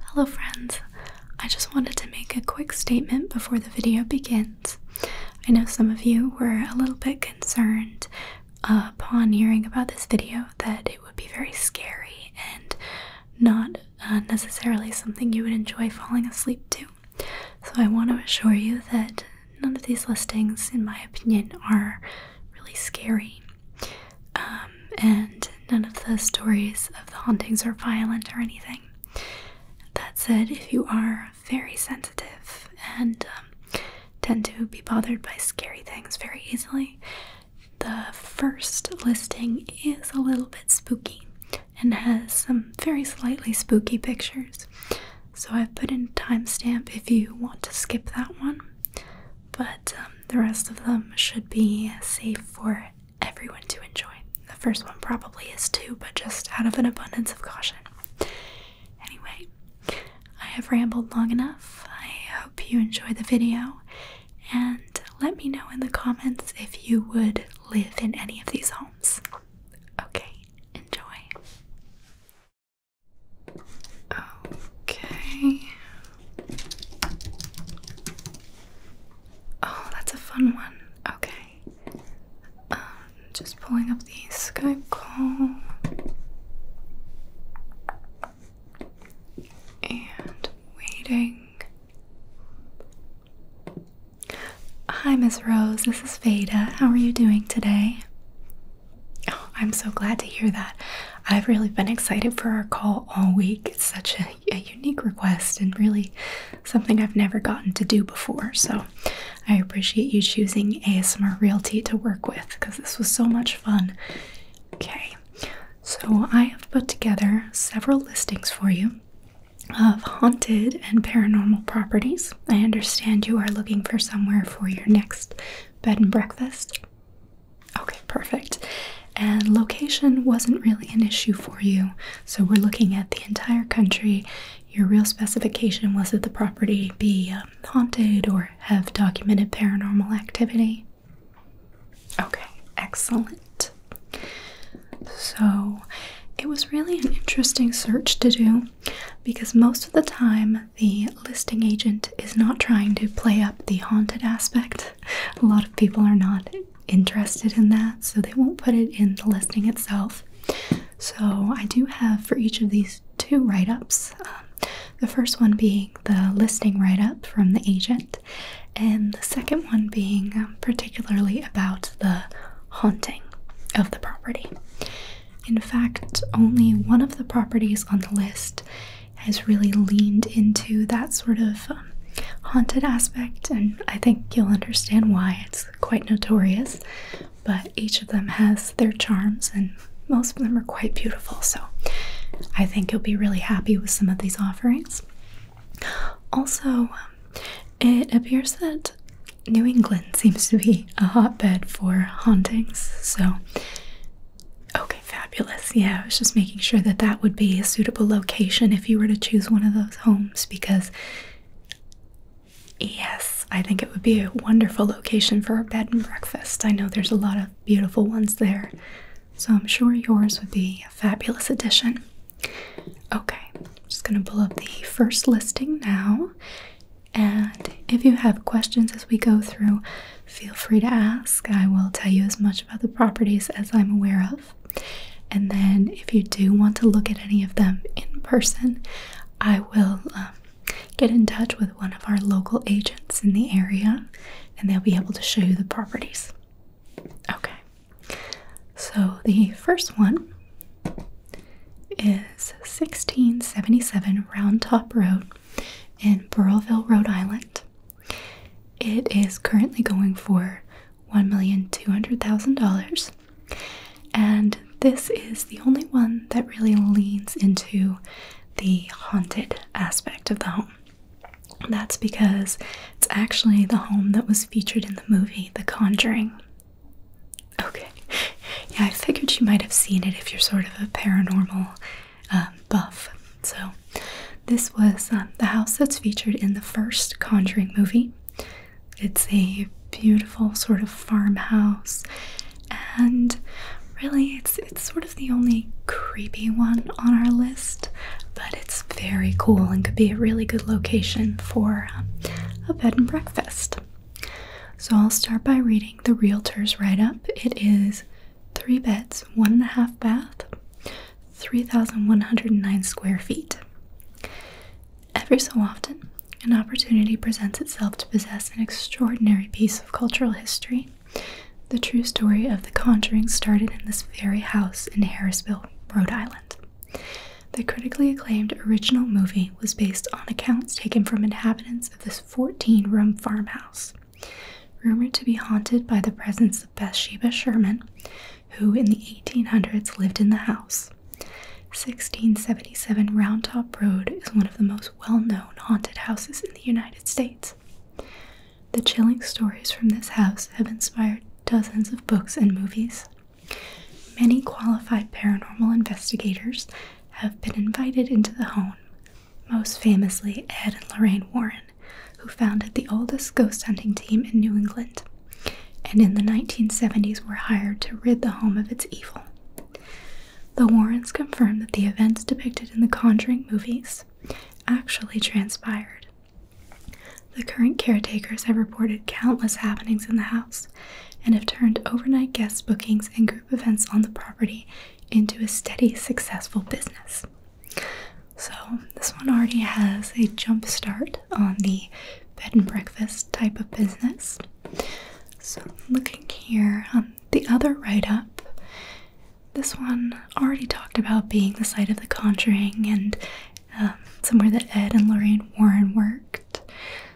Hello friends, I just wanted to make a quick statement before the video begins. I know some of you were a little bit concerned upon hearing about this video that it would be very scary and not uh, necessarily something you would enjoy falling asleep to. So I want to assure you that none of these listings, in my opinion, are really scary. Um, and none of the stories of the hauntings are violent or anything. That said, if you are very sensitive and um, tend to be bothered by scary things very easily, the first listing is a little bit spooky and has some very slightly spooky pictures. So I've put in a timestamp if you want to skip that one, but um, the rest of them should be safe for everyone to enjoy. The first one probably is too, but just out of an abundance of caution. Anyway, I have rambled long enough. I hope you enjoy the video, and let me know in the comments if you would live in any of these homes. Okay, enjoy. Okay, Oh, that's a fun one. Okay. Um, just pulling up the Skype call. And waiting. Hi, Miss Rose. This is Veda. How are you doing today? Oh, I'm so glad to hear that. I've really been excited for our call all week. It's such a a unique request and really something I've never gotten to do before. So I appreciate you choosing ASMR Realty to work with because this was so much fun. Okay, so I have put together several listings for you of haunted and paranormal properties. I understand you are looking for somewhere for your next bed and breakfast. Okay, perfect. And location wasn't really an issue for you. So we're looking at the entire country. Your real specification was that the property be um, haunted or have documented paranormal activity. Okay, excellent. So it was really an interesting search to do because most of the time the listing agent is not trying to play up the haunted aspect. A lot of people are not interested in that, so they won't put it in the listing itself. So, I do have for each of these two write ups um, the first one being the listing write up from the agent, and the second one being um, particularly about the haunting of the property. In fact, only one of the properties on the list has really leaned into that sort of haunted aspect, and I think you'll understand why it's quite notorious. But each of them has their charms, and most of them are quite beautiful. So I think you'll be really happy with some of these offerings. Also, um, it appears that New England seems to be a hotbed for hauntings. So, okay, fabulous. Yeah, I was just making sure that that would be a suitable location if you were to choose one of those homes because, yes, I think it would be a wonderful location for a bed and breakfast. I know there's a lot of beautiful ones there, so I'm sure yours would be a fabulous addition. Okay, just going to pull up the first listing now. And if you have questions as we go through, feel free to ask. I will tell you as much about the properties as I'm aware of. And then, if you do want to look at any of them in person, I will um, get in touch with one of our local agents in the area and they'll be able to show you the properties. Okay, so the first one is 1677 Round Top Road in Burleville, Rhode Island. It is currently going for $1,200,000. And this is the only one that really leans into the haunted aspect of the home. That's because it's actually the home that was featured in the movie The Conjuring. Okay. Yeah, I figured you might have seen it if you're sort of a paranormal uh, buff. So, this was um, the house that's featured in the first Conjuring movie. It's a beautiful sort of farmhouse, and really, it's it's sort of the only creepy one on our list. But it's very cool and could be a really good location for um, a bed and breakfast. So I'll start by reading the realtor's write up. It is three beds, one and a half bath, 3,109 square feet. Every so often, an opportunity presents itself to possess an extraordinary piece of cultural history. The true story of The Conjuring started in this very house in Harrisville, Rhode Island. The critically acclaimed original movie was based on accounts taken from inhabitants of this 14 room farmhouse. Rumored to be haunted by the presence of Bathsheba Sherman, who in the 1800s lived in the house. 1677 Round Top Road is one of the most well known haunted houses in the United States. The chilling stories from this house have inspired dozens of books and movies. Many qualified paranormal investigators have been invited into the home, most famously Ed and Lorraine Warren who founded the oldest ghost hunting team in New England and in the 1970s were hired to rid the home of its evil. The Warrens confirmed that the events depicted in the Conjuring movies actually transpired. The current caretakers have reported countless happenings in the house and have turned overnight guest bookings and group events on the property into a steady, successful business. So, this one already has a jump start on the bed and breakfast type of business. So, looking here on the other write up, this one already talked about being the site of the conjuring and um, somewhere that Ed and Lorraine Warren worked.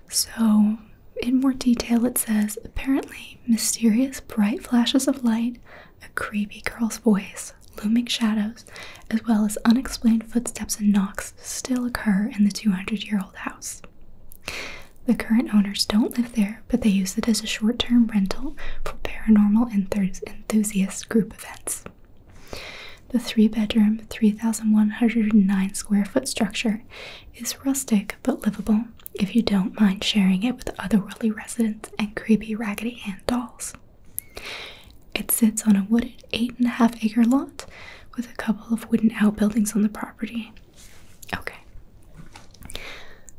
So, in more detail, it says apparently mysterious bright flashes of light a creepy girl's voice, looming shadows, as well as unexplained footsteps and knocks still occur in the 200 year old house. The current owners don't live there, but they use it as a short term rental for paranormal enthusiasts' group events. The three bedroom, 3,109 square foot structure is rustic but livable if you don't mind sharing it with otherworldly residents and creepy Raggedy Ann dolls. It sits on a wooded 8.5 acre lot with a couple of wooden outbuildings on the property. Okay,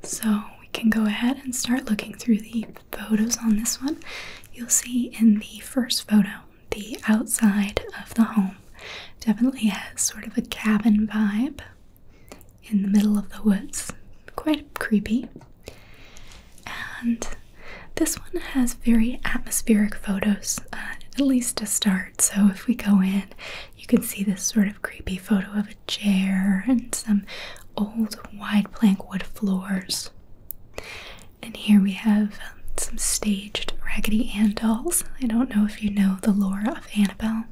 so we can go ahead and start looking through the photos on this one. You'll see in the first photo, the outside of the home definitely has sort of a cabin vibe in the middle of the woods. Quite creepy and this one has very atmospheric photos, uh, at least to start. So if we go in, you can see this sort of creepy photo of a chair and some old wide plank wood floors. And here we have um, some staged Raggedy Ann dolls. I don't know if you know the lore of Annabelle.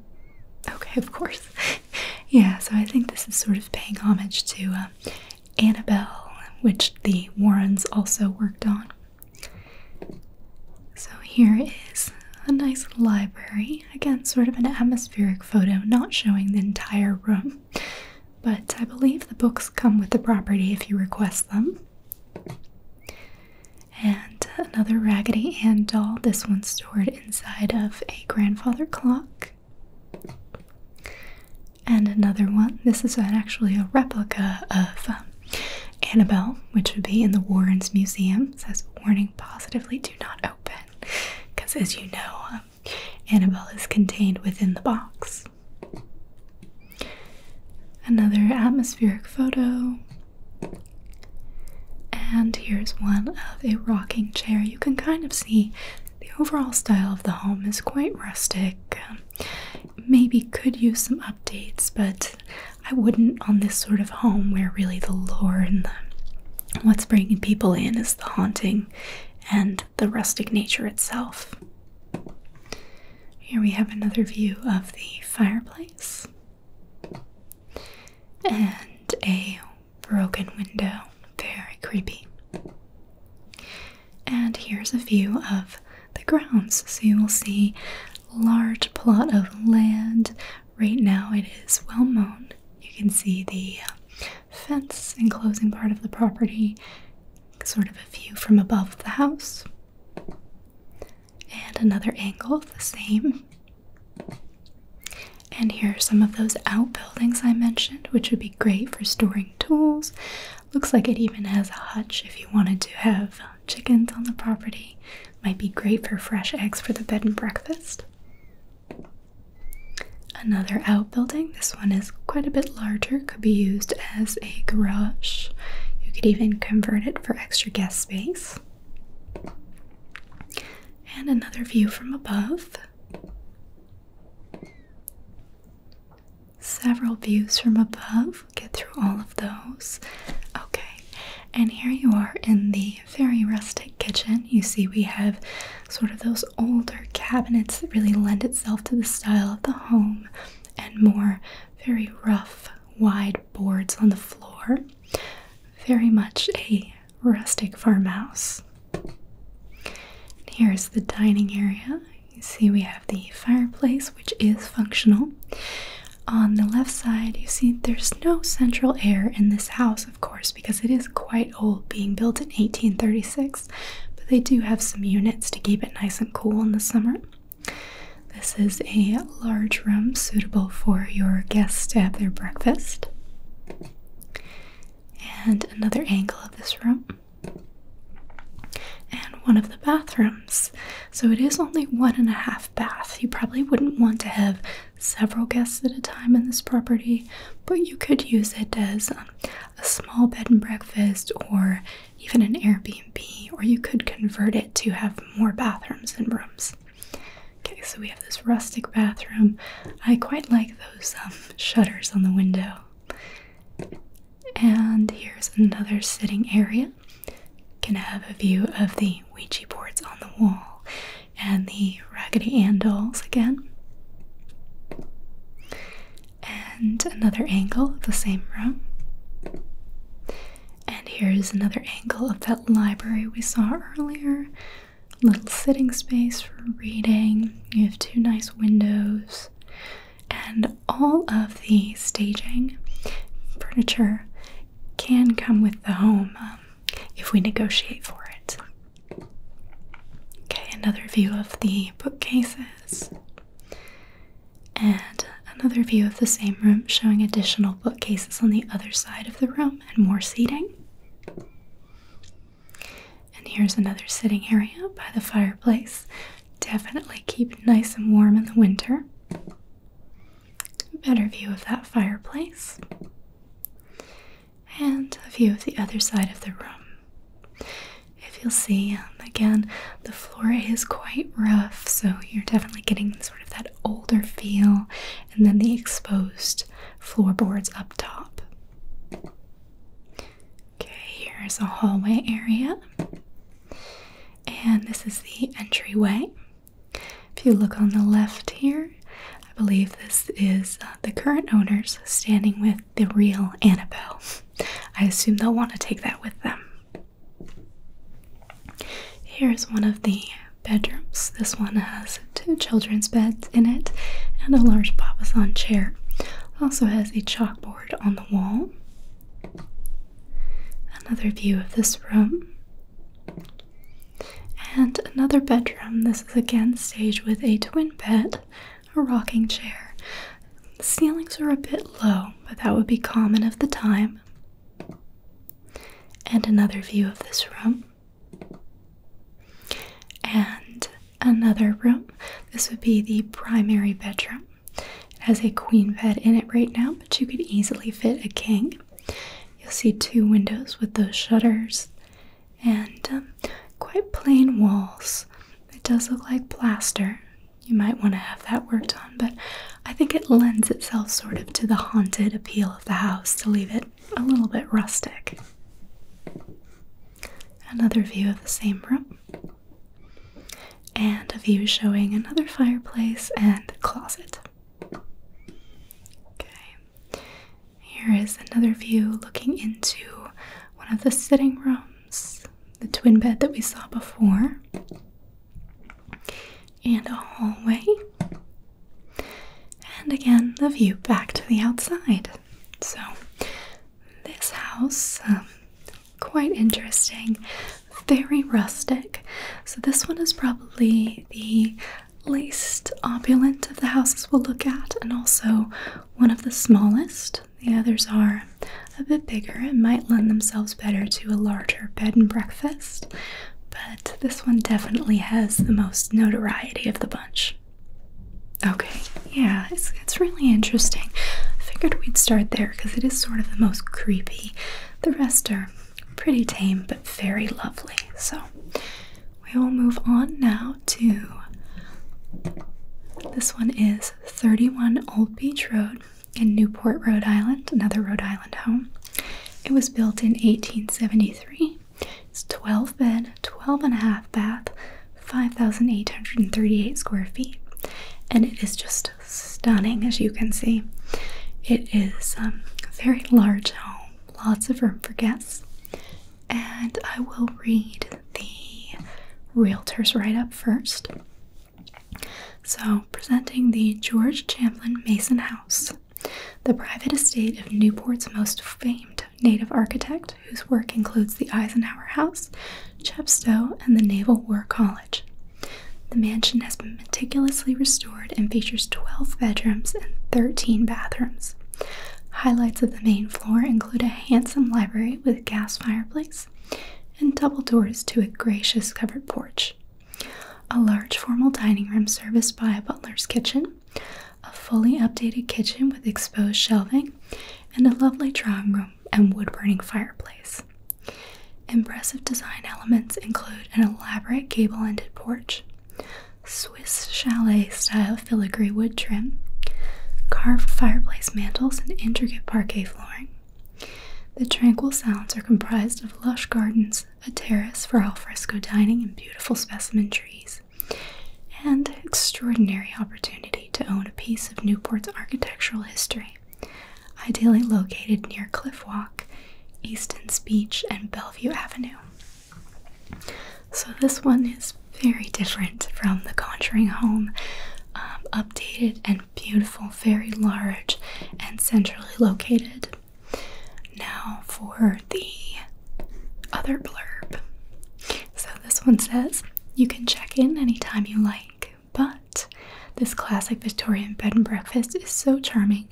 Okay, of course. yeah, so I think this is sort of paying homage to uh, Annabelle, which the Warrens also worked on. So here is a nice library. Again, sort of an atmospheric photo, not showing the entire room, but I believe the books come with the property if you request them. And another Raggedy Ann doll, this one stored inside of a grandfather clock. And another one. This is actually a replica of um, Annabelle, which would be in the Warrens Museum. says, warning positively do not open. Because as you know, um, Annabelle is contained within the box. Another atmospheric photo. And here's one of a rocking chair. You can kind of see the overall style of the home is quite rustic. Um, maybe could use some updates, but I wouldn't on this sort of home where really the lore and the, what's bringing people in is the haunting and the rustic nature itself. Here we have another view of the fireplace and a broken window. Very creepy. And here's a view of the grounds. So you will see large plot of land. Right now it is well mown. You can see the uh, fence enclosing part of the property, sort of a view from above the house. And another angle, the same. And here are some of those outbuildings I mentioned, which would be great for storing tools. Looks like it even has a hutch if you wanted to have chickens on the property. Might be great for fresh eggs for the bed and breakfast. Another outbuilding. This one is quite a bit larger, could be used as a garage. You could even convert it for extra guest space. And another view from above several views from above. We'll get through all of those. Okay, and here you are in the very rustic kitchen. You see, we have sort of those older cabinets that really lend itself to the style of the home and more very rough, wide boards on the floor. Very much a rustic farmhouse. here's the dining area. You see, we have the fireplace, which is functional. On the left side, you see there's no central air in this house, of course, because it is quite old, being built in 1836. But they do have some units to keep it nice and cool in the summer. This is a large room suitable for your guests to have their breakfast. And another angle of this room and one of the bathrooms. So it is only one and a half bath. You probably wouldn't want to have several guests at a time in this property, but you could use it as um, a small bed and breakfast or even an Airbnb, or you could convert it to have more bathrooms and rooms. Okay, so we have this rustic bathroom. I quite like those um, shutters on the window. And here's another sitting area. Can have a view of the Ouija boards on the wall and the Raggedy Ann again. And another angle of the same room. And here's another angle of that library we saw earlier. Little sitting space for reading. You have two nice windows. And all of the staging furniture can come with the home um, if we negotiate for it. Okay, another view of the bookcases. And another view of the same room showing additional bookcases on the other side of the room and more seating. And here's another sitting area by the fireplace. Definitely keep nice and warm in the winter. Better view of that fireplace. And a view of the other side of the room. If you'll see, um, again, the floor is quite rough, so you're definitely getting sort of that older feel, and then the exposed floorboards up top. Okay, here's a hallway area. And this is the entryway. If you look on the left here, I believe this is uh, the current owners standing with the real Annabelle. I assume they'll want to take that with them. Here's one of the bedrooms. This one has two children's beds in it and a large papasan chair. Also has a chalkboard on the wall. Another view of this room. And another bedroom. This is again staged with a twin bed, a rocking chair. The ceilings are a bit low, but that would be common of the time. And another view of this room. And another room. This would be the primary bedroom. It has a queen bed in it right now, but you could easily fit a king. You'll see two windows with those shutters and um, quite plain walls. It does look like plaster. You might want to have that worked on, but I think it lends itself sort of to the haunted appeal of the house to leave it a little bit rustic. Another view of the same room and a view showing another fireplace and closet. Okay, here is another view looking into one of the sitting rooms, the twin bed that we saw before, and a hallway. And again, the view back to the outside. So, this house, um, quite interesting, very rustic. So, this one is probably the least opulent of the houses we'll look at, and also one of the smallest. The others are a bit bigger and might lend themselves better to a larger bed and breakfast, but this one definitely has the most notoriety of the bunch. Okay, yeah, it's, it's really interesting. I figured we'd start there because it is sort of the most creepy. The rest are pretty tame but very lovely. So we will move on now to this one is 31 Old Beach Road in Newport, Rhode Island, another Rhode Island home. It was built in 1873. It's 12 bed, 12 and a half bath, 5,838 square feet, and it is just stunning as you can see. It is um, a very large home, lots of room for guests, and I will read the realtor's write up first. So, presenting the George Champlin Mason House, the private estate of Newport's most famed native architect, whose work includes the Eisenhower House, Chepstow, and the Naval War College. The mansion has been meticulously restored and features 12 bedrooms and 13 bathrooms. Highlights of the main floor include a handsome library with gas fireplace and double doors to a gracious covered porch. A large formal dining room serviced by a butler's kitchen, a fully updated kitchen with exposed shelving, and a lovely drawing room and wood burning fireplace. Impressive design elements include an elaborate gable ended porch, Swiss chalet style filigree wood trim, carved fireplace mantels, and intricate parquet flooring. The tranquil sounds are comprised of lush gardens, a terrace for alfresco dining, and beautiful specimen trees, and extraordinary opportunity to own a piece of Newport's architectural history, ideally located near Cliff Walk, Easton's Beach, and Bellevue Avenue. So, this one is very different from the Conjuring Home. Um, updated and beautiful, very large and centrally located. Now, for the other blurb. So, this one says you can check in anytime you like but this classic Victorian bed and breakfast is so charming,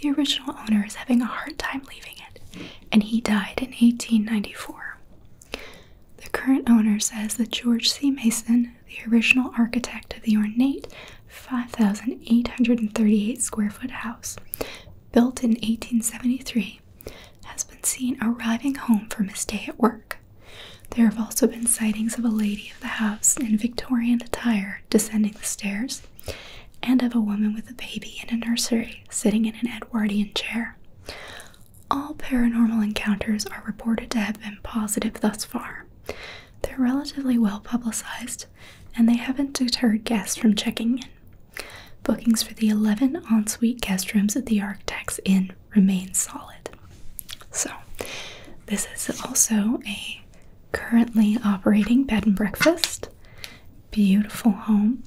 the original owner is having a hard time leaving it, and he died in 1894. The current owner says that George C. Mason, the original architect of the ornate 5,838 square foot house, built in 1873, has been seen arriving home from his day at work. There have also been sightings of a lady of the house in Victorian attire descending the stairs, and of a woman with a baby in a nursery sitting in an Edwardian chair. All paranormal encounters are reported to have been positive thus far. They're relatively well publicized, and they haven't deterred guests from checking in. Bookings for the 11 ensuite guest rooms at the Architects Inn remain solid. So, this is also a currently operating bed and breakfast. Beautiful home,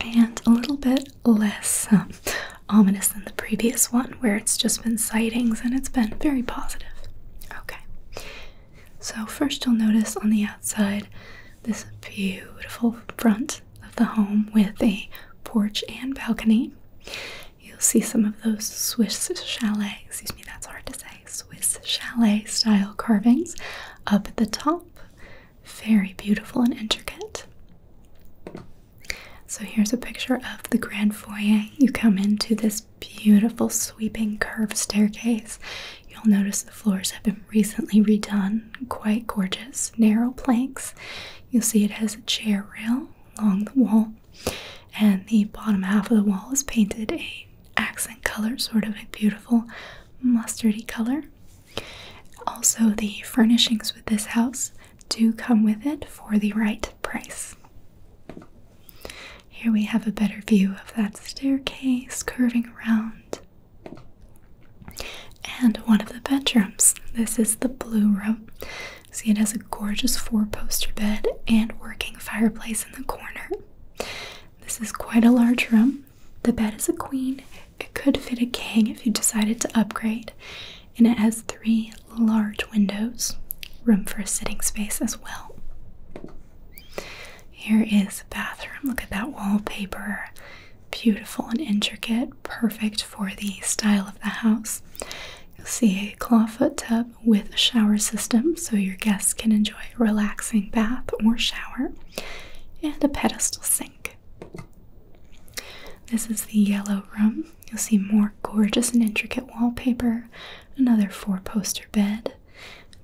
and a little bit less um, ominous than the previous one, where it's just been sightings and it's been very positive. Okay, so first you'll notice on the outside this beautiful front of the home with a porch and balcony. You'll see some of those Swiss chalet, excuse me, that's hard to say, Swiss chalet style carvings up at the top. Very beautiful and intricate. So here's a picture of the grand foyer. You come into this beautiful sweeping curved staircase. You'll notice the floors have been recently redone, quite gorgeous, narrow planks. You'll see it has a chair rail along the wall, and the bottom half of the wall is painted a accent color, sort of a beautiful mustardy color. Also, the furnishings with this house do come with it for the right price. Here we have a better view of that staircase curving around. And one of the bedrooms. This is the blue room. See, it has a gorgeous four poster bed and working fireplace in the corner. This is quite a large room. The bed is a queen. It could fit a king if you decided to upgrade. And it has three large windows, room for a sitting space as well. Here is the bathroom. Look at that wallpaper. Beautiful and intricate, perfect for the style of the house. You'll see a clawfoot tub with a shower system so your guests can enjoy a relaxing bath or shower, and a pedestal sink. This is the yellow room. You'll see more gorgeous and intricate wallpaper, another four poster bed,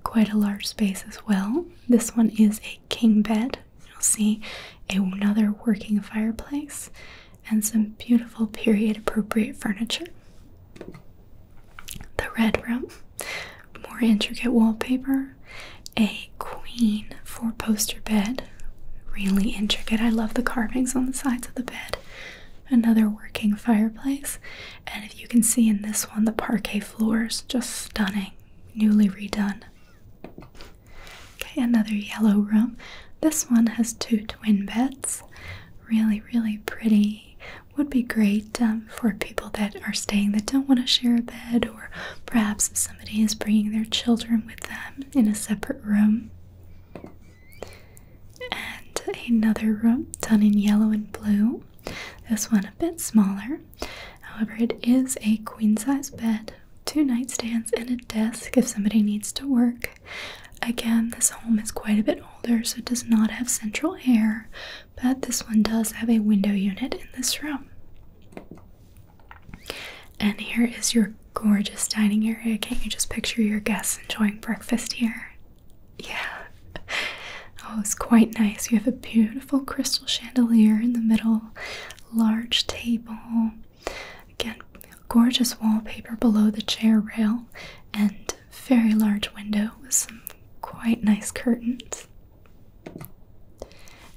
quite a large space as well. This one is a king bed. You'll see another working fireplace and some beautiful period appropriate furniture. The red room, more intricate wallpaper, a queen four poster bed, really intricate. I love the carvings on the sides of the bed. Another working fireplace, and if you can see in this one, the parquet floors just stunning, newly redone. Okay, another yellow room. This one has two twin beds. Really, really pretty. Would be great um, for people that are staying that don't want to share a bed, or perhaps somebody is bringing their children with them in a separate room. And another room done in yellow and blue. This one a bit smaller. However, it is a queen size bed two nightstands and a desk if somebody needs to work. Again, this home is quite a bit older, so it does not have central air, but this one does have a window unit in this room. And here is your gorgeous dining area. Can't you just picture your guests enjoying breakfast here? Yeah. Oh, it's quite nice. You have a beautiful crystal chandelier in the middle, large table, Again, gorgeous wallpaper below the chair rail and very large window with some quite nice curtains.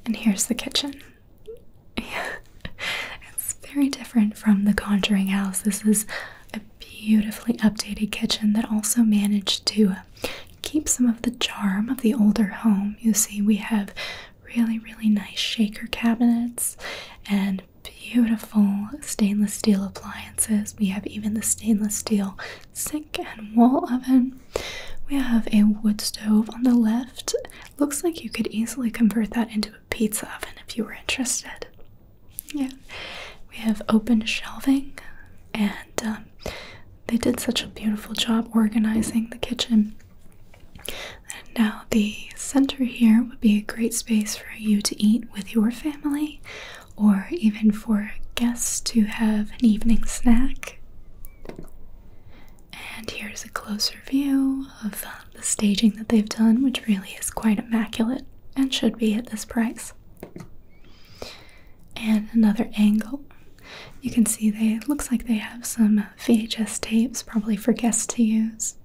And here's the kitchen. it's very different from the Conjuring House. This is a beautifully updated kitchen that also managed to keep some of the charm of the older home. You see, we have really, really nice shaker cabinets and beautiful stainless steel appliances. We have even the stainless steel sink and wall oven. We have a wood stove on the left. Looks like you could easily convert that into a pizza oven if you were interested. Yeah, we have open shelving, and um, they did such a beautiful job organizing the kitchen. And now the center here would be a great space for you to eat with your family or even for guests to have an evening snack. And here's a closer view of the, staging that they've done, which really is quite immaculate and should be at this price. And another angle. You can see they looks like they have some VHS tapes probably for guests to use.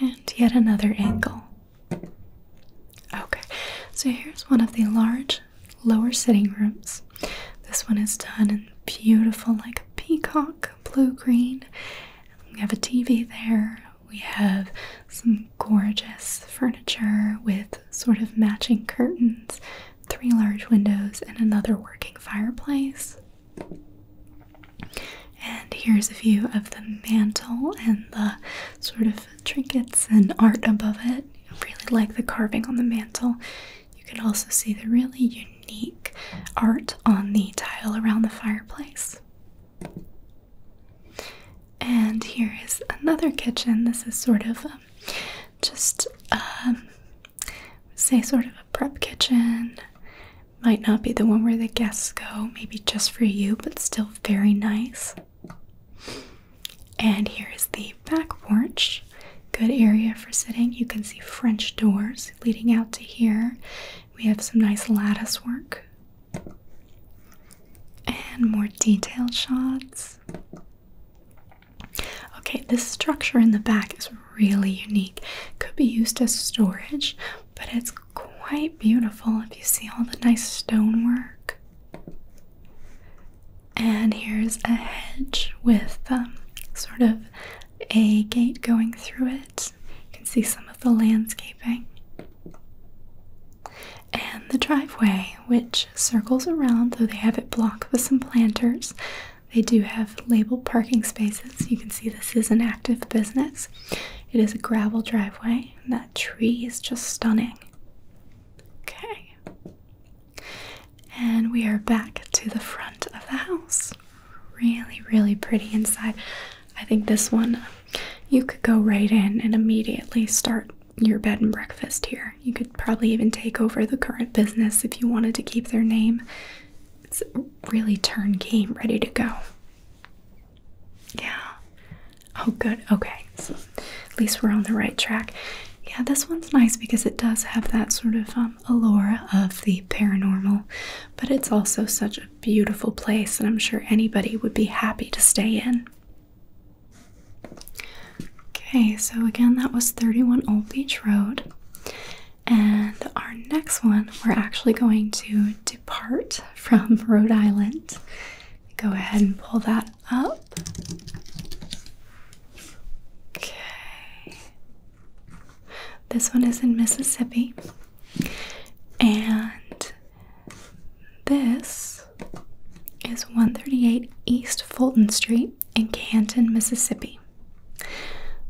And yet another angle. Okay, so here's one of the large lower sitting rooms. This one is done in beautiful, like peacock blue green. We have a TV there. We have some gorgeous furniture with sort of matching curtains, three large windows, and another working fireplace. And here's a view of the mantle and the sort of trinkets and art above it. I really like the carving on the mantle. You can also see the really unique art on the tile around the fireplace. And here is another kitchen. This is sort of um, just um, say sort of a prep kitchen. Might not be the one where the guests go, maybe just for you, but still very nice. And here is the back porch. Good area for sitting. You can see French doors leading out to here. We have some nice lattice work and more detailed shots. Okay, this structure in the back is really unique. Could be used as storage, but it's quite beautiful if you see all the nice stonework. And here's a hedge with um, sort of a gate going through it. You can see some of the landscaping. And the driveway, which circles around, though they have it blocked with some planters they do have labeled parking spaces. You can see this is an active business. It is a gravel driveway, that tree is just stunning. Okay. And we are back to the front of the house. Really, really pretty inside. I think this one, you could go right in and immediately start your bed and breakfast here. You could probably even take over the current business if you wanted to keep their name really turn game ready to go. Yeah. Oh, good. Okay. at least we're on the right track. Yeah, this one's nice because it does have that sort of um, allure of the paranormal, but it's also such a beautiful place, and I'm sure anybody would be happy to stay in. Okay, so again, that was 31 Old Beach Road. And our next one, we're actually going to depart from Rhode Island. Go ahead and pull that up. Okay. This one is in Mississippi. And this is 138 East Fulton Street in Canton, Mississippi.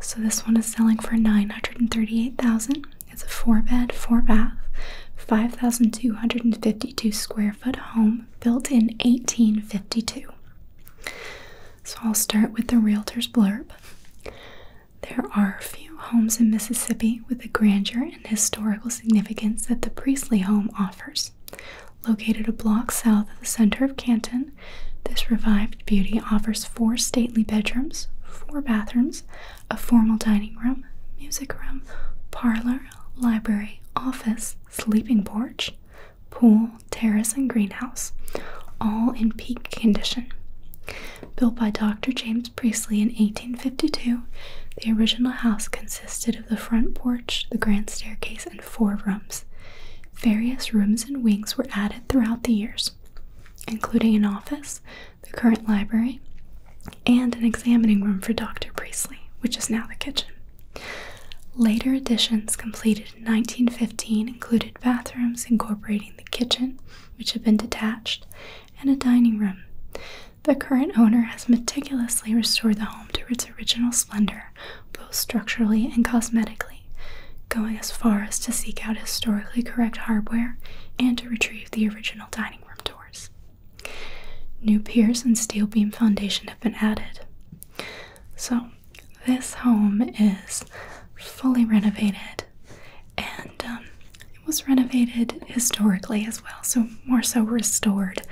So this one is selling for nine hundred and thirty-eight thousand. It's a four-bed, four-bath, five thousand two hundred and fifty-two square foot home built in eighteen fifty-two. So I'll start with the realtor's blurb. There are few homes in Mississippi with the grandeur and historical significance that the Priestley home offers. Located a block south of the center of Canton, this revived beauty offers four stately bedrooms, four bathrooms, a formal dining room, music room, parlor, library, office, sleeping porch, pool, terrace, and greenhouse, all in peak condition. Built by Dr. James Priestley in 1852, the original house consisted of the front porch, the grand staircase, and four rooms. Various rooms and wings were added throughout the years including an office, the current library, and an examining room for Dr. Priestley, which is now the kitchen. Later additions completed in 1915 included bathrooms incorporating the kitchen, which had been detached, and a dining room. The current owner has meticulously restored the home to its original splendor, both structurally and cosmetically going as far as to seek out historically correct hardware and to retrieve the original dining room doors. New piers and steel beam foundation have been added. So, this home is fully renovated and um, it was renovated historically as well, so more so restored.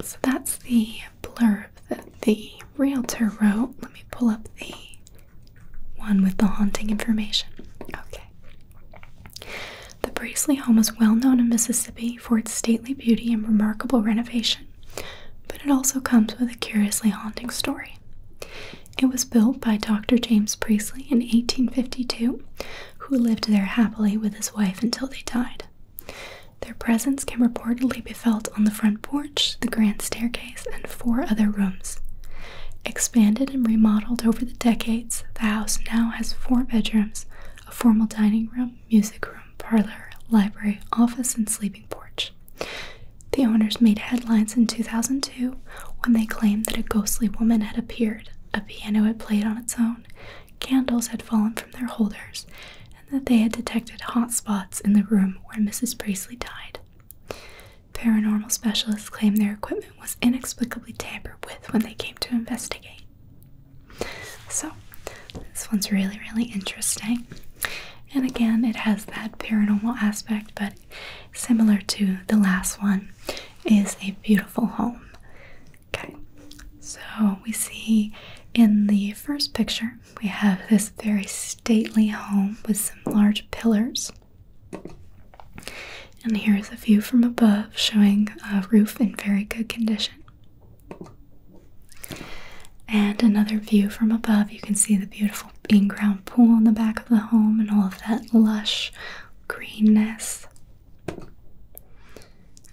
So, that's the blurb that the realtor wrote. Let me pull up the one with the haunting information. Okay. The Priestley home is well known in Mississippi for its stately beauty and remarkable renovation, but it also comes with a curiously haunting story. It was built by Dr. James Priestley in 1852, who lived there happily with his wife until they died. Their presence can reportedly be felt on the front porch the grand staircase, and four other rooms. Expanded and remodeled over the decades, the house now has four bedrooms, a formal dining room, music room, parlor, library, office, and sleeping porch. The owners made headlines in 2002 when they claimed that a ghostly woman had appeared, a piano had played on its own, candles had fallen from their holders, and that they had detected hot spots in the room where Mrs. Priestley died. Paranormal specialists claim their equipment was inexplicably tampered with when they came to investigate. So, this one's really, really interesting. And again, it has that paranormal aspect, but similar to the last one, is a beautiful home. Okay, so we see in the first picture, we have this very stately home with some large pillars. And here's a view from above showing a roof in very good condition. And another view from above, you can see the beautiful inground pool in the back of the home and all of that lush greenness.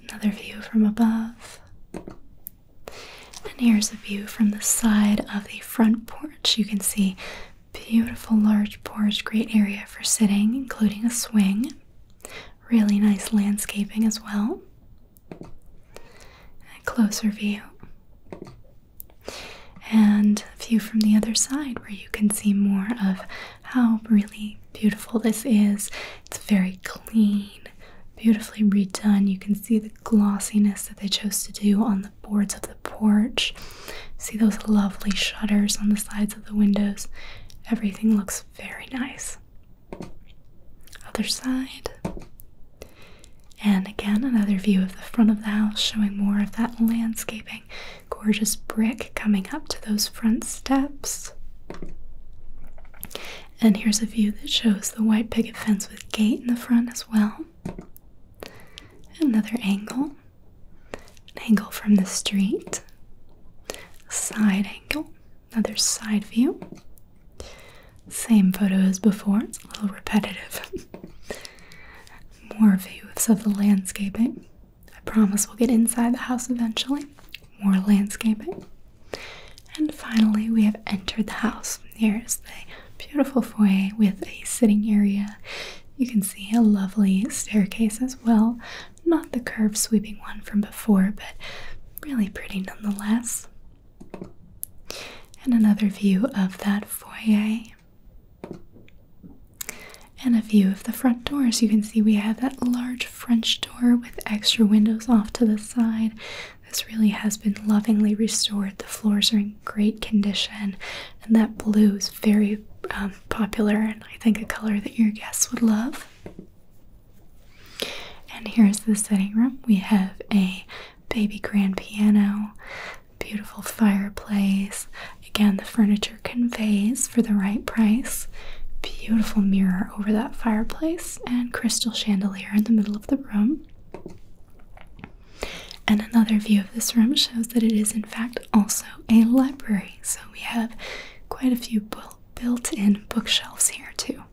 Another view from above. And here's a view from the side of the front porch. You can see beautiful large porch, great area for sitting, including a swing. Really nice landscaping as well. A closer view. And a view from the other side where you can see more of how really beautiful this is. It's very clean, beautifully redone. You can see the glossiness that they chose to do on the boards of the porch. See those lovely shutters on the sides of the windows. Everything looks very nice. Other side. And again, another view of the front of the house showing more of that landscaping. Gorgeous brick coming up to those front steps. And here's a view that shows the white picket fence with gate in the front as well another angle, an angle from the street, side angle, another side view. Same photo as before, it's a little repetitive. More views of the landscaping. I promise we'll get inside the house eventually. More landscaping. And finally, we have entered the house. Here's the beautiful foyer with a sitting area. You can see a lovely staircase as well. Not the curved sweeping one from before, but really pretty nonetheless. And another view of that foyer. And a view of the front door. So you can see we have that large French door with extra windows off to the side. This really has been lovingly restored. The floors are in great condition and that blue is very um, popular and I think a color that your guests would love. And here's the sitting room. We have a baby grand piano, beautiful fireplace. Again, the furniture conveys for the right price. Beautiful mirror over that fireplace and crystal chandelier in the middle of the room. And another view of this room shows that it is, in fact, also a library. So we have quite a few built in bookshelves here, too.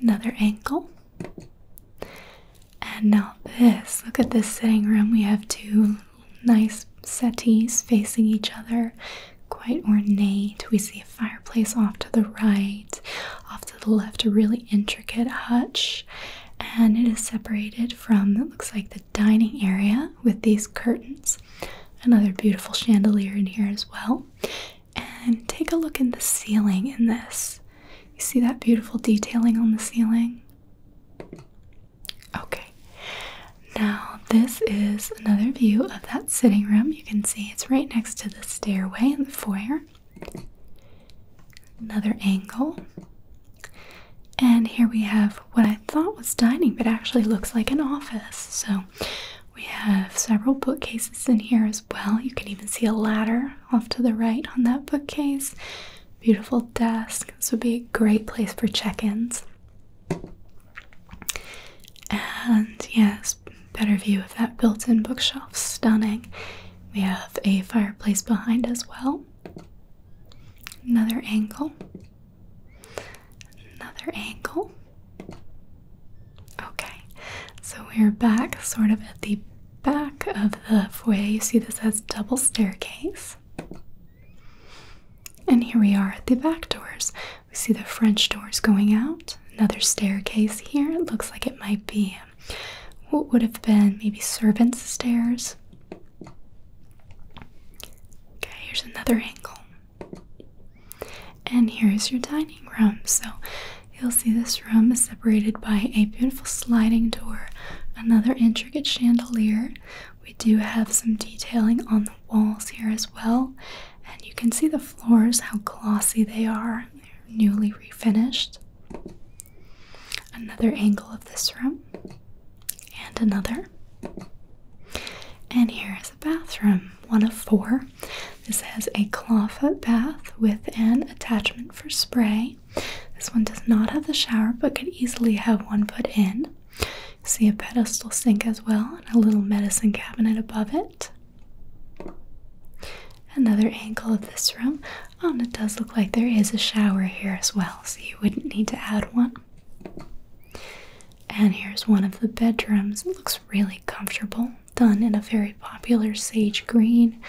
Another angle. And now, this look at this sitting room. We have two nice settees facing each other, quite ornate. We see a fireplace off to the right, off to the left, a really intricate hutch and it is separated from it looks like the dining area with these curtains another beautiful chandelier in here as well and take a look in the ceiling in this you see that beautiful detailing on the ceiling okay now this is another view of that sitting room you can see it's right next to the stairway and the foyer another angle. And here we have what I thought was dining, but actually looks like an office. So we have several bookcases in here as well. You can even see a ladder off to the right on that bookcase. Beautiful desk. This would be a great place for check ins. And yes, better view of that built in bookshelf. Stunning. We have a fireplace behind as well. Another angle. Another angle. Okay, so we're back sort of at the back of the foyer. You see this has double staircase. And here we are at the back doors. We see the French doors going out. Another staircase here. It looks like it might be what would have been maybe servants' stairs. Okay, here's another angle. And here's your dining room. So you'll see this room is separated by a beautiful sliding door, another intricate chandelier. We do have some detailing on the walls here as well. And you can see the floors, how glossy they are. They're newly refinished another angle of this room, and another. And here is a bathroom, one of four. This has a clawfoot bath with an attachment for spray. This one does not have the shower, but could easily have one put in. See a pedestal sink as well, and a little medicine cabinet above it. Another angle of this room, um, it does look like there is a shower here as well, so you wouldn't need to add one. And here's one of the bedrooms. looks really comfortable, done in a very popular sage green.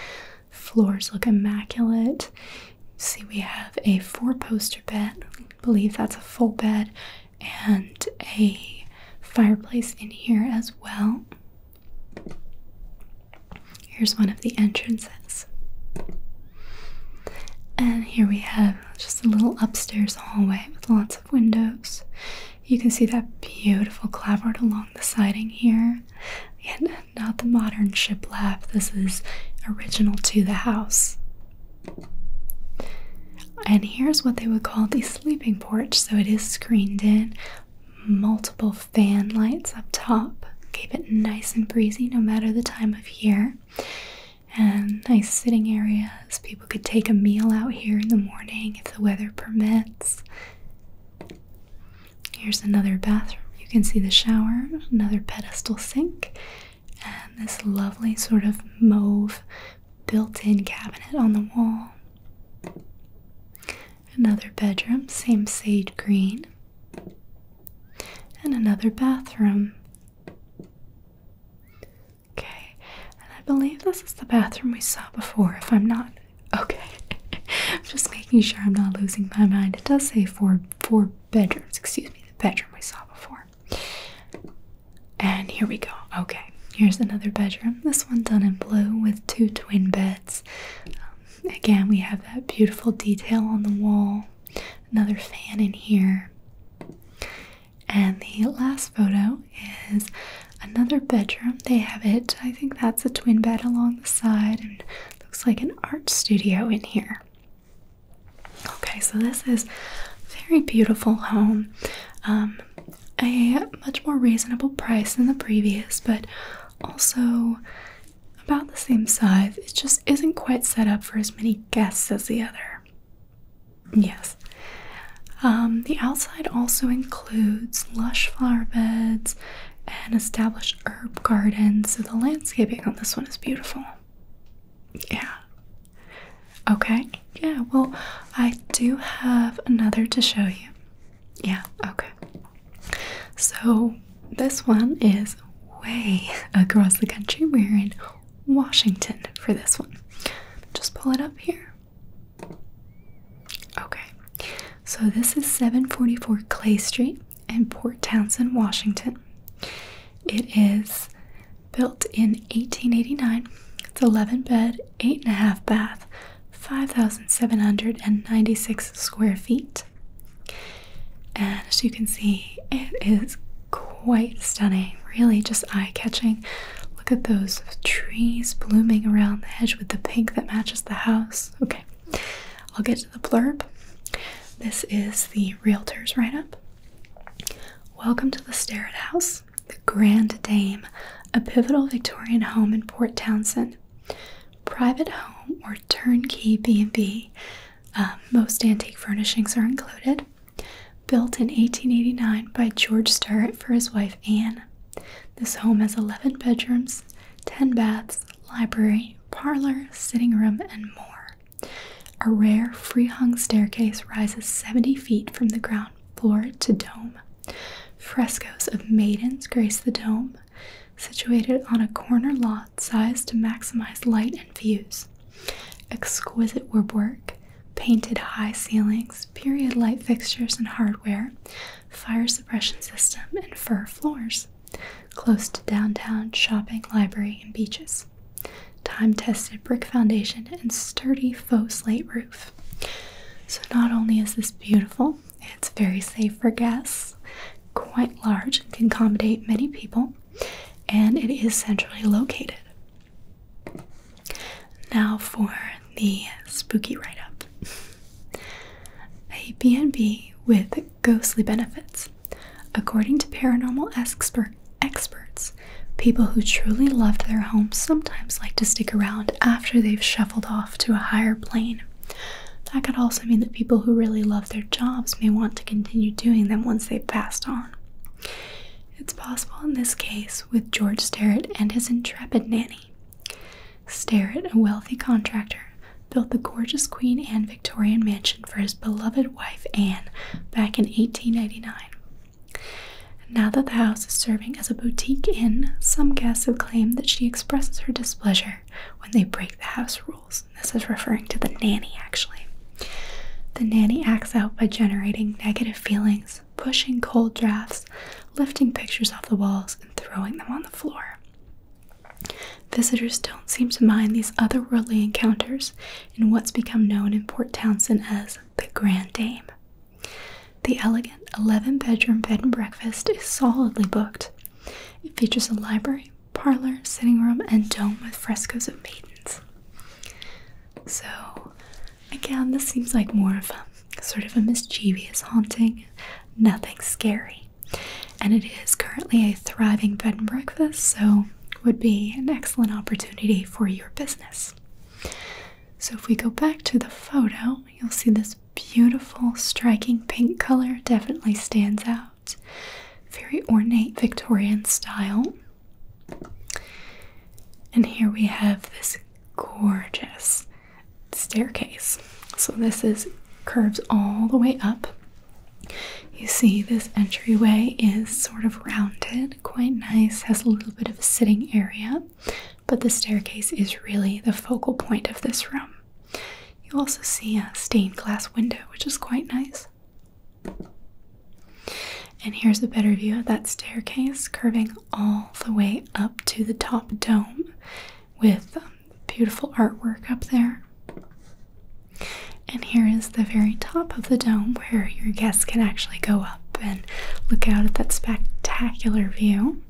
Floors look immaculate. See, we have a four-poster bed. believe that's a full bed, and a fireplace in here as well. Here's one of the entrances. And here we have just a little upstairs hallway with lots of windows. You can see that beautiful clapboard along the siding here. and not the modern ship lap. this is original to the house. And here's what they would call the sleeping porch. So it is screened in, multiple fan lights up top, keep it nice and breezy no matter the time of year. And nice sitting areas. People could take a meal out here in the morning if the weather permits. Here's another bathroom. You can see the shower, another pedestal sink, and this lovely sort of mauve built in cabinet on the wall. Another bedroom, same sage green. And another bathroom. Okay, and I believe this is the bathroom we saw before. If I'm not okay, I'm just making sure I'm not losing my mind. It does say four four bedrooms. Excuse me, the bedroom we saw before. And here we go. Okay, here's another bedroom. This one done in blue with two twin beds. Um, Again, we have that beautiful detail on the wall, another fan in here. And the last photo is another bedroom. They have it, I think that's a twin bed along the side, and looks like an art studio in here. Okay, so this is a very beautiful home. Um, a much more reasonable price than the previous, but also about the same size. It just isn't quite set up for as many guests as the other. Yes. Um, the outside also includes lush flower beds and established herb gardens, so the landscaping on this one is beautiful. Yeah. Okay. Yeah, well, I do have another to show you. Yeah, okay. So this one is way across the country. We're in Washington for this one. Just pull it up here. Okay. So this is 744 Clay Street in Port Townsend, Washington. It is built in 1889. It's 11 bed, 8 and a half bath, 5,796 square feet. And as you can see, it is quite stunning, really just eye catching. Look at those trees blooming around the hedge with the pink that matches the house. Okay, I'll get to the blurb. This is the realtor's write up. Welcome to the Starrett House, the Grand Dame, a pivotal Victorian home in Port Townsend private home or turnkey B&B. Um, most antique furnishings are included. Built in 1889 by George Sturrett for his wife Anne. This home has 11 bedrooms, 10 baths, library, parlor, sitting room, and more. A rare free-hung staircase rises 70 feet from the ground floor to dome. Frescoes of maidens grace the dome, situated on a corner lot sized to maximize light and views. Exquisite woodwork, painted high ceilings, period light fixtures and hardware, fire suppression system, and fir floors. Close to downtown, shopping, library, and beaches. Time tested brick foundation and sturdy faux slate roof. So, not only is this beautiful, it's very safe for guests, quite large, and can accommodate many people, and it is centrally located. Now for the spooky write up a B&B with ghostly benefits. According to paranormal expert, experts, people who truly loved their homes sometimes like to stick around after they've shuffled off to a higher plane that could also mean that people who really love their jobs may want to continue doing them once they've passed on. It's possible in this case with George Sterrett and his intrepid nanny. Sterrett, a wealthy contractor, built the gorgeous Queen Anne Victorian mansion for his beloved wife Anne back in 1889. Now that the house is serving as a boutique inn, some guests have claimed that she expresses her displeasure when they break the house rules. this is referring to the nanny, actually. The nanny acts out by generating negative feelings, pushing cold drafts, lifting pictures off the walls, and throwing them on the floor. Visitors don't seem to mind these otherworldly encounters in what's become known in Port Townsend as the Grand Dame. The elegant 11 bedroom bed and breakfast is solidly booked, it features a library, parlor, sitting room, and dome with frescoes of maidens. So, again, this seems like more of a sort of a mischievous haunting, nothing scary. And it is currently a thriving bed and breakfast, so would be an excellent opportunity for your business. So, if we go back to the photo, you'll see this beautiful, striking pink color definitely stands out. Very ornate Victorian style. And here we have this gorgeous staircase. So this is curves all the way up. You see this entryway is sort of rounded, quite nice, has a little bit of a sitting area, but the staircase is really the focal point of this room. You also see a stained glass window, which is quite nice. And here's a better view of that staircase curving all the way up to the top dome with um, beautiful artwork up there. And here is the very top of the dome where your guests can actually go up and look out at that spectacular view.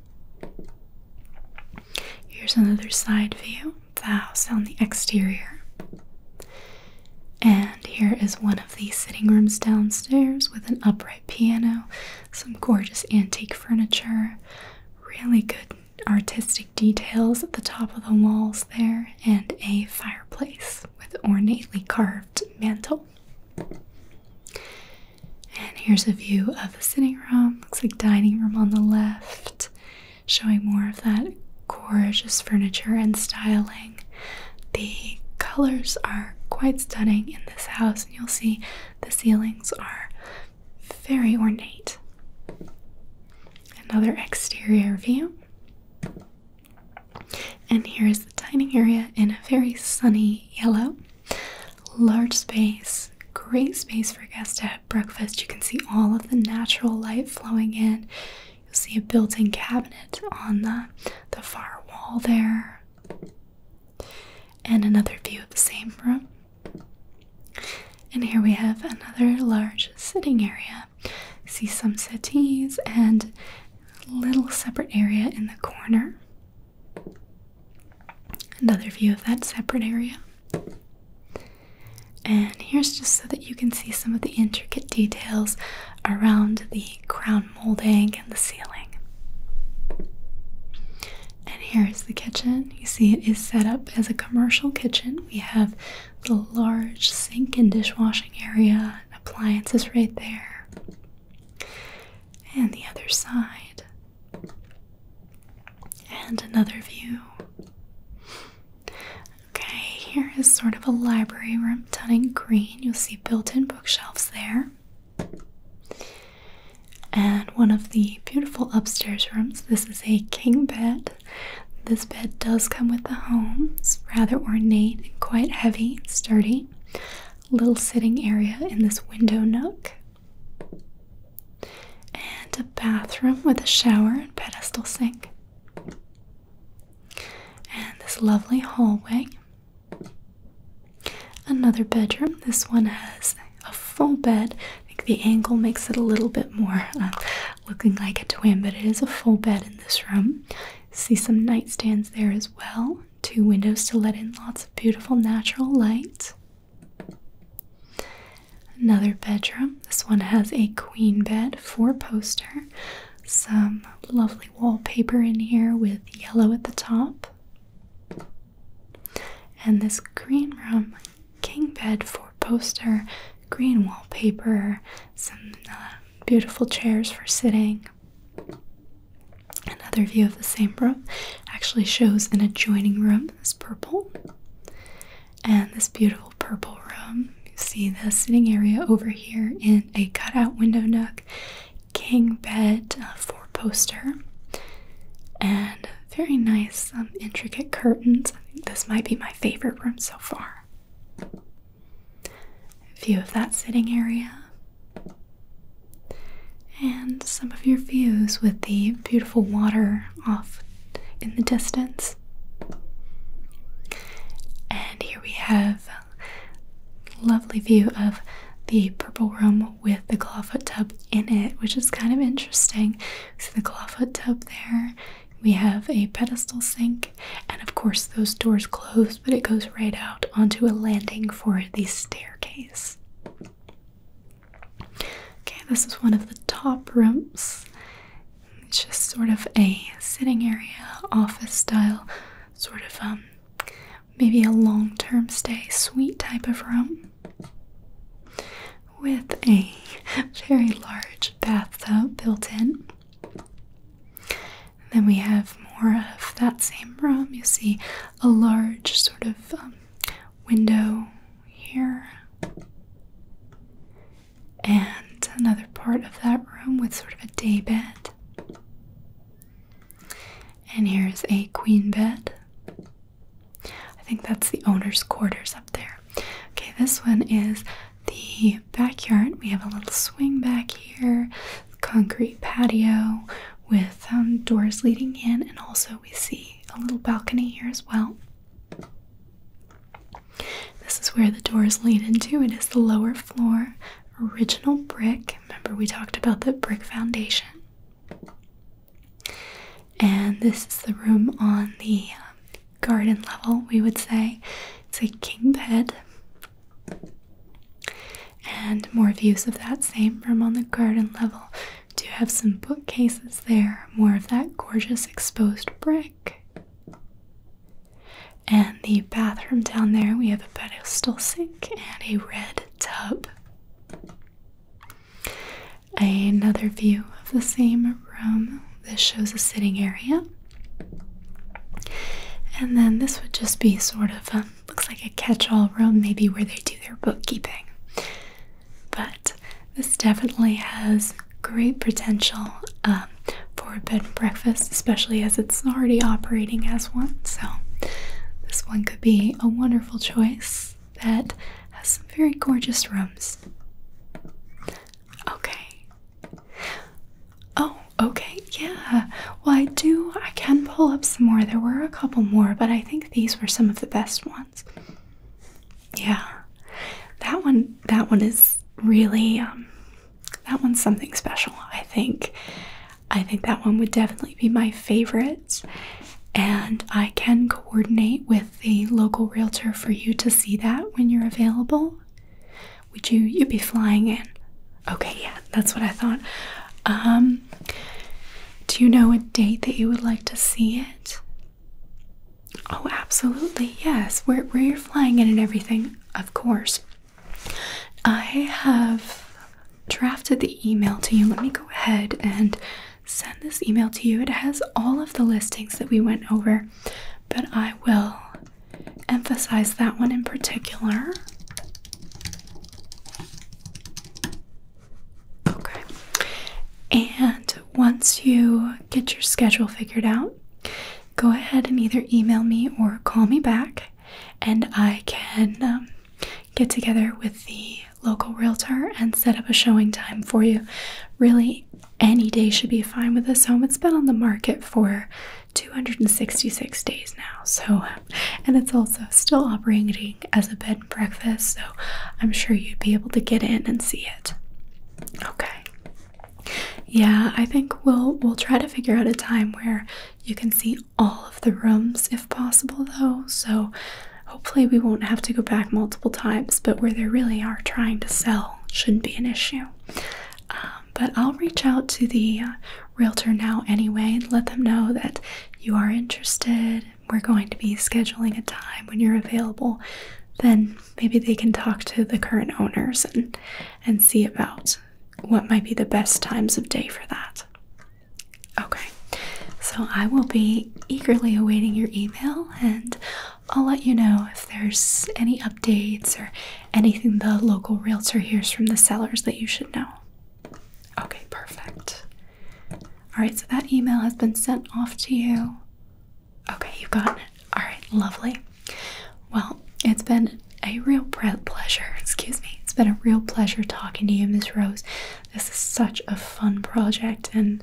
Here's another side view of the house on the exterior. And here is one of the sitting rooms downstairs with an upright piano, some gorgeous antique furniture, really good artistic details at the top of the walls there, and a fireplace with ornately carved mantel. And here's a view of the sitting room. Looks like dining room on the left, showing more of that gorgeous furniture and styling. The colors are quite stunning in this house, and you'll see the ceilings are very ornate. Another exterior view. And here's the dining area in a very sunny yellow. Large space great space for guests to have breakfast. You can see all of the natural light flowing in. You'll see a built-in cabinet on the, the far wall there. And another view of the same room. And here we have another large sitting area. see some settees and a little separate area in the corner. Another view of that separate area. And here's just so that you can see some of the intricate details around the crown molding and the ceiling. And here is the kitchen. You see, it is set up as a commercial kitchen. We have the large sink and dishwashing area, appliances right there. And the other side, and another view. Okay, here is sort of a library room done in green. You'll see built in bookshelves there. And one of the beautiful upstairs rooms. This is a king bed. This bed does come with the home. It's rather ornate and quite heavy, sturdy. Little sitting area in this window nook and a bathroom with a shower and pedestal sink, and this lovely hallway. Another bedroom. This one has a full bed. I think the angle makes it a little bit more uh, looking like a twin, but it is a full bed in this room. See some nightstands there as well. Two windows to let in lots of beautiful natural light. Another bedroom. This one has a queen bed, four poster, some lovely wallpaper in here with yellow at the top. And this green room, king bed, four poster, green wallpaper, some uh, beautiful chairs for sitting. Another view of the same room actually shows an adjoining room, this purple and this beautiful purple room. You see the sitting area over here in a cutout window nook, king bed, uh, four poster, and very nice, um, intricate curtains. this might be my favorite room so far. View of that sitting area, and some of your views with the beautiful water off in the distance. And here we have lovely view of the purple room with the clawfoot tub in it, which is kind of interesting. So the clawfoot tub there. We have a pedestal sink, and of course, those doors close, but it goes right out onto a landing for the staircase. Okay, this is one of the top rooms. It's just sort of a sitting area, office style, sort of um, maybe a long-term stay suite type of room with a very large bathtub built in. Then we have more of that same room. You see a large sort of um, window here, and another part of that room with sort of a day bed. And here's a queen bed. I think that's the owner's quarters up there. Okay, this one is the backyard. We have a little swing back here, concrete patio with um, doors leading in, and also we see a little balcony here as well. This is where the doors lead into. It is the lower floor, original brick. Remember, we talked about the brick foundation. And this is the room on the um, garden level, we would say. It's a king bed. And more views of that same room on the garden level. Do have some bookcases there, more of that gorgeous exposed brick. And the bathroom down there, we have a pedestal sink and a red tub. Another view of the same room. This shows a sitting area. And then this would just be sort of um, looks like a catch all room, maybe where they do their bookkeeping. But this definitely has great potential um, for a bed and breakfast, especially as it's already operating as one. So, this one could be a wonderful choice that has some very gorgeous rooms. Okay. Oh, okay, yeah. Well, I do, I can pull up some more. There were a couple more, but I think these were some of the best ones. Yeah. That one that one is really um that one's something special, I think. I think that one would definitely be my favorite. And I can coordinate with the local realtor for you to see that when you're available. Would you you'd be flying in? Okay, yeah, that's what I thought. Um do you know a date that you would like to see it? Oh, absolutely, yes. Where, you're flying in and everything, of course. I have drafted the email to you. Let me go ahead and send this email to you. It has all of the listings that we went over, but I will emphasize that one in particular. Okay. And once you get your schedule figured out, go ahead and either email me or call me back, and I can um, get together with the local realtor and set up a showing time for you. Really, any day should be fine with this home. It's been on the market for 266 days now, so and it's also still operating as a bed and breakfast, so I'm sure you'd be able to get in and see it. Okay. Yeah, I think we'll we'll try to figure out a time where you can see all of the rooms if possible though. So hopefully we won't have to go back multiple times, but where they really are trying to sell shouldn't be an issue. Um, but I'll reach out to the uh, realtor now anyway and let them know that you are interested. We're going to be scheduling a time when you're available. Then maybe they can talk to the current owners and and see about what might be the best times of day for that. Okay, so I will be eagerly awaiting your email and I'll let you know if there's any updates or anything the local realtor hears from the sellers that you should know. Okay, perfect. All right, so that email has been sent off to you. Okay, you have got it. All right, lovely. Well, it's been a real pleasure. Excuse me. It's been a real pleasure talking to you, Miss Rose. This is such a fun project, and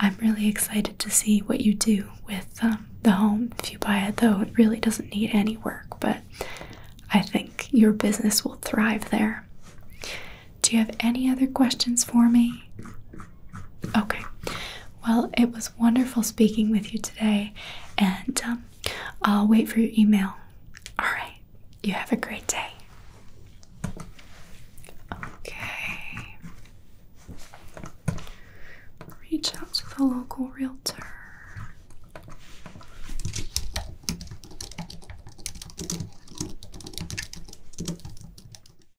I'm really excited to see what you do with um, the home. If you buy it, though, it really doesn't need any work, but I think your business will thrive there. Do you have any other questions for me? Okay. Well, it was wonderful speaking with you today, and um, I'll wait for your email. All right. You have a great day. Okay. Reach out to the local realtor.